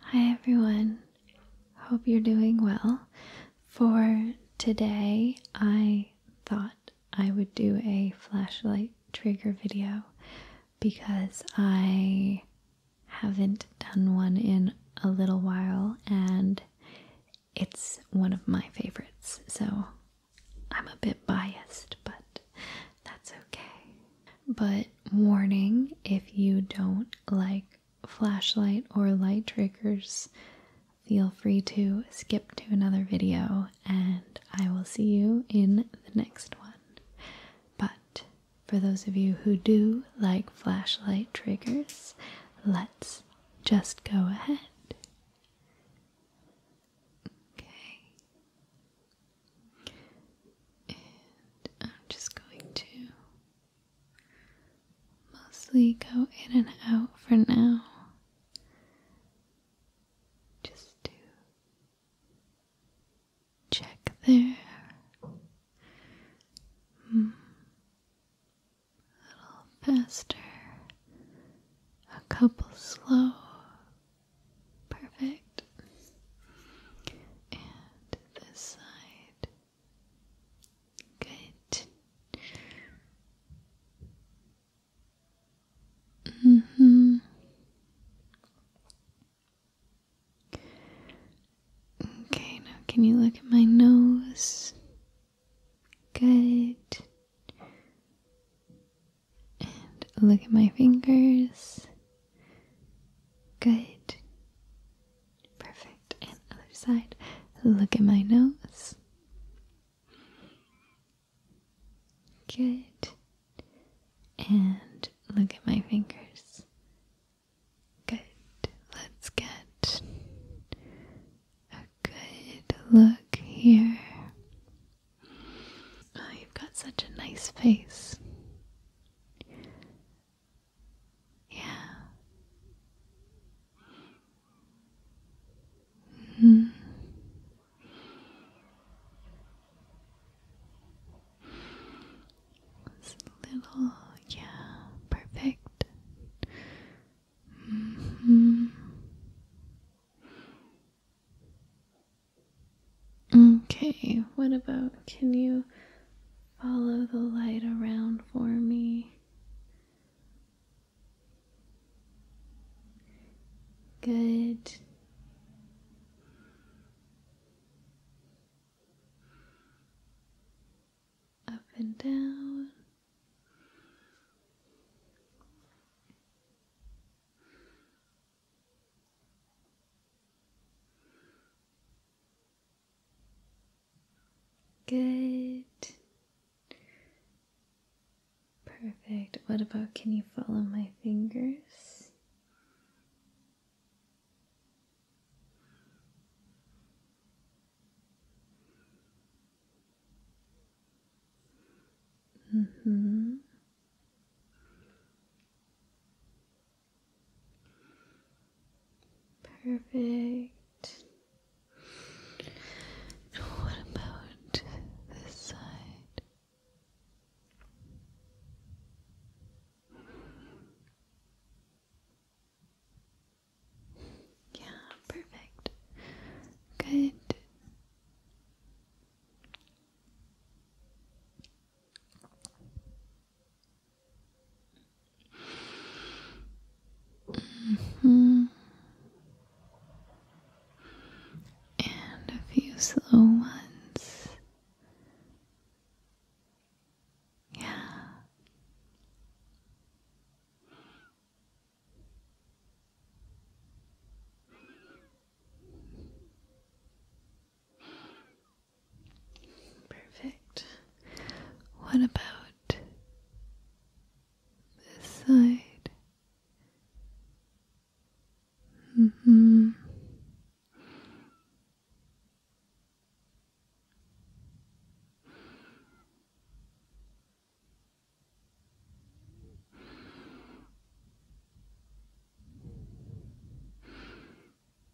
Hi everyone, hope you're doing well. For today, I thought I would do a flashlight trigger video because I haven't done one in a little while and it's one of my favorites, so I'm a bit biased, but that's okay. But warning if you don't like flashlight or light triggers, feel free to skip to another video and I will see you in the next one. But for those of you who do like flashlight triggers, let's just go ahead. Okay. I'm just going to mostly go in and out for now, just to check there. Hmm. A little faster, a couple slow, Perfect. And this side. Good. hmm. Okay, now can you look at my nose? Good. And look at my fingers. Good. Perfect. And other side. Look at my nose. Good. And look at my fingers. Good. Let's get a good look here. Oh, you've got such a nice face. Yeah. Mm. little, yeah, perfect. -hmm. Okay, what about can you follow the light around for me? Good. Up and down. Good. Perfect. What about can you follow my fingers? Mhm. Mm Perfect. what about this side? Yeah, perfect. Good. Mm-hmm. And a few slow ones. Yeah. Perfect. What about this side? -hmm.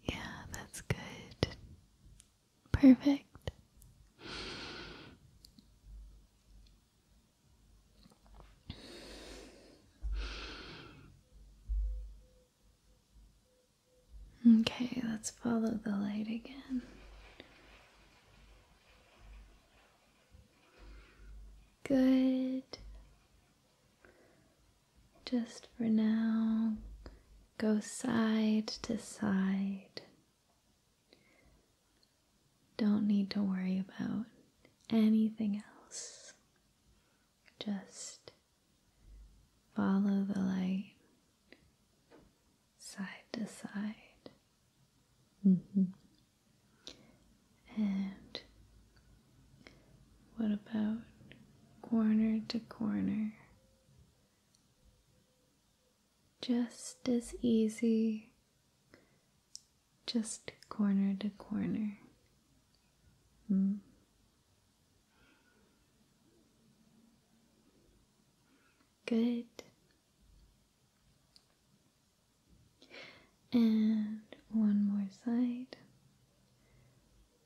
Yeah, that's good. Perfect. Okay, let's follow the light again. Good. Just for now, go side to side. Don't need to worry about anything else. Just follow the light side to side. Mm-hmm. And what about corner to corner? Just as easy, just corner to corner. Hmm. Good and one more side,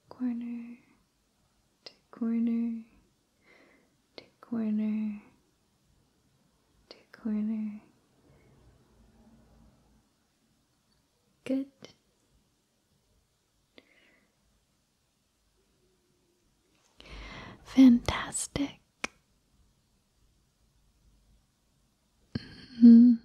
corner to corner to corner to corner. Good. Fantastic hmm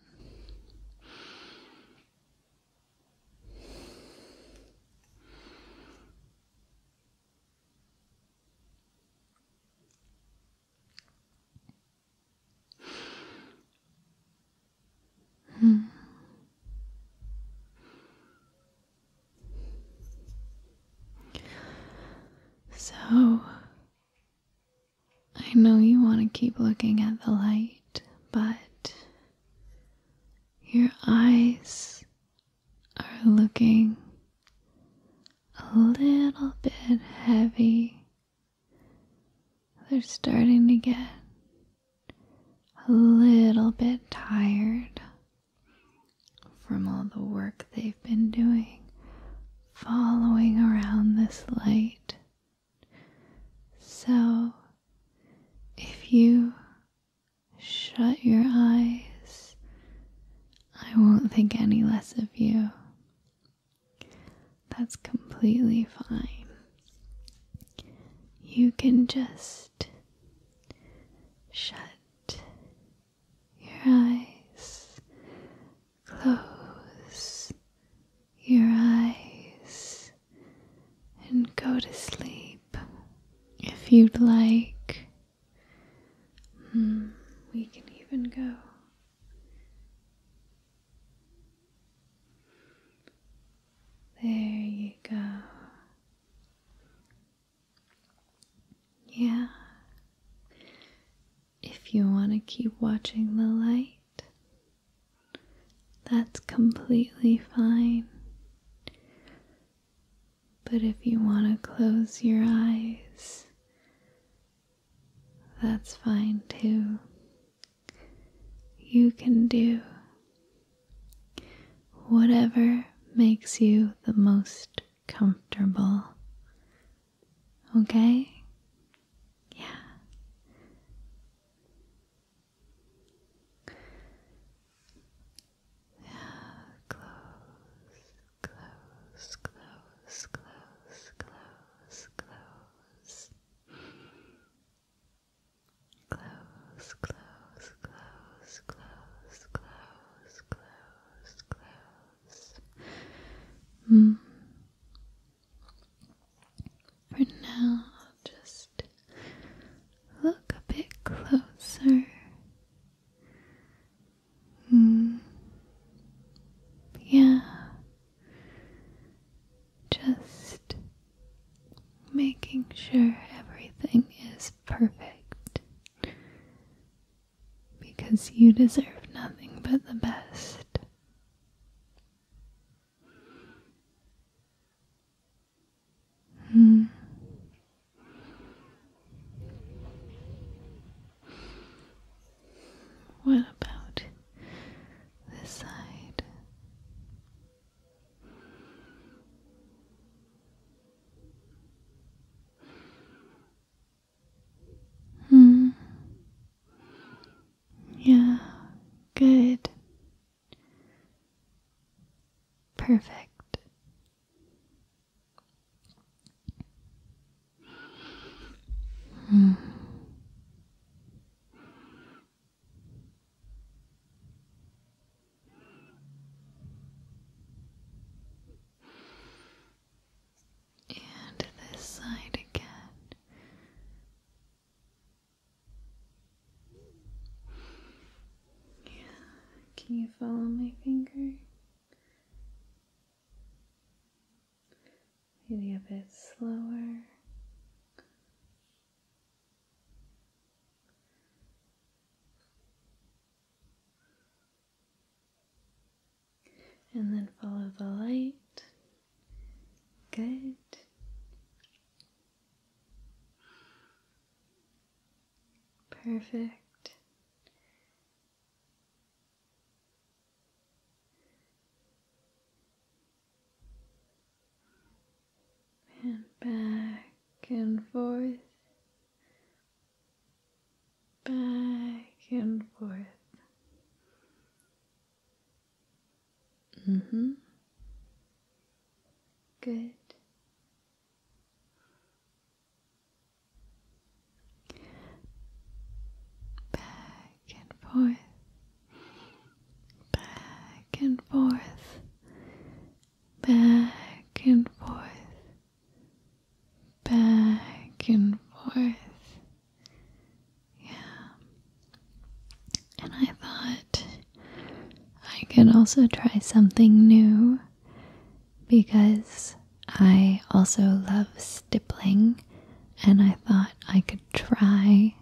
Hmm. So, I know you want to keep looking at the light, but your eyes are looking a little bit heavy. They're starting to get a little bit tired from all the work they've been doing following around this light so, if you shut your eyes, I won't think any less of you. That's completely fine. You can just shut your eyes Close your eyes and go to sleep if you'd like. Hmm, we can even go. There you go. Yeah. If you want to keep watching the light, that's completely fine. But if you want to close your eyes, that's fine too. You can do whatever makes you the most comfortable. Okay? Yeah. Yeah, close, close, close, close, close, close. Close, close, close, close, close, close, close. Mm. For now, just look a bit closer. Hmm. Yeah. Just making sure everything is perfect. Because you deserve nothing but the best. Mm. What about this side? Hmm. Yeah, good. Perfect. Hmm and this side again. Yeah, can you follow my finger? Maybe a bit slower and then follow the light. Good. Perfect. And back and forth, back and forth, Mm hmm. Good. Back and forth, back and forth, back and forth, back and forth, yeah. And I thought I could also try something new because I also love stippling, and I thought I could try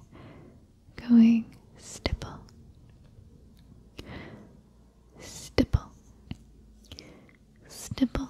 going stipple. Stipple. Stipple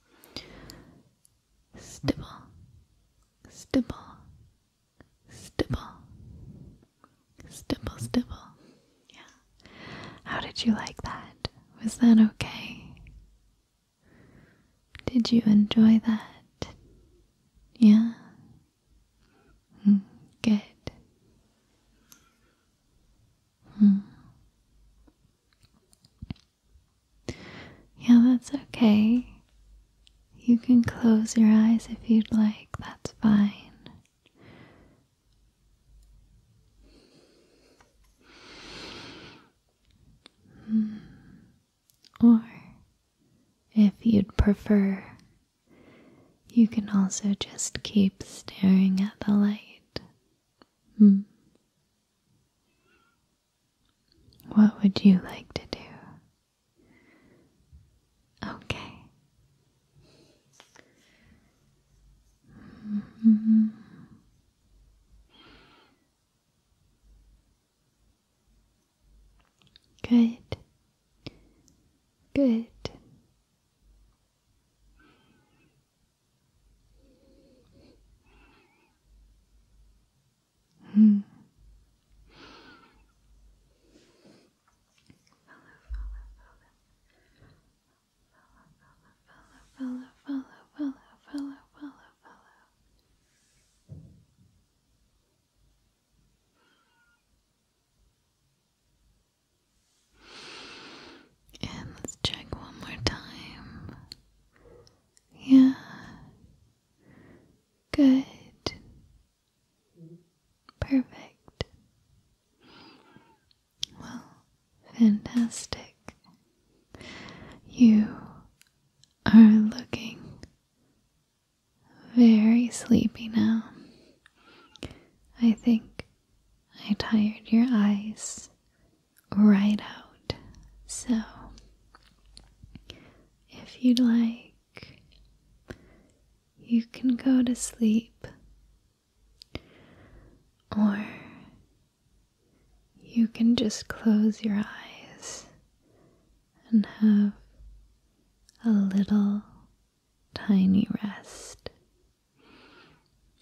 stipple, stipple, stipple, stipple, stipple. Yeah. How did you like that? Was that okay? Did you enjoy that? Yeah? Hmm, good. Mm. Yeah, that's okay. You can close your eyes if you'd like, that's fine. Hmm. Or, if you'd prefer, you can also just keep staring at the light Hmm. What would you like to do? Okay. hmm Good. Good. Hmm. Follow, follow, follow, follow, follow, follow, and let's check one more time. Yeah. Good. Perfect. Well, fantastic. You are looking very sleepy now. I think I tired your eyes right out. So, if you'd like, you can go to sleep, or you can just close your eyes and have a little tiny rest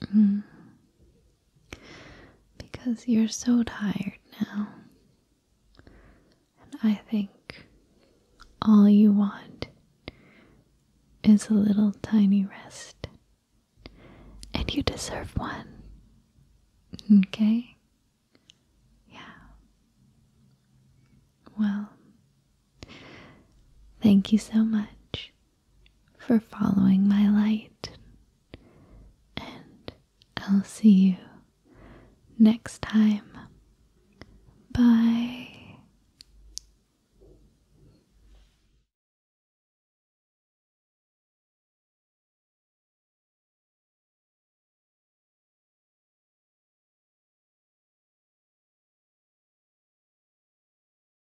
Mm. Because you're so tired now. And I think all you want is a little tiny rest. And you deserve one. Okay? Yeah. Well, thank you so much for following my light. And I'll see you next time. Bye.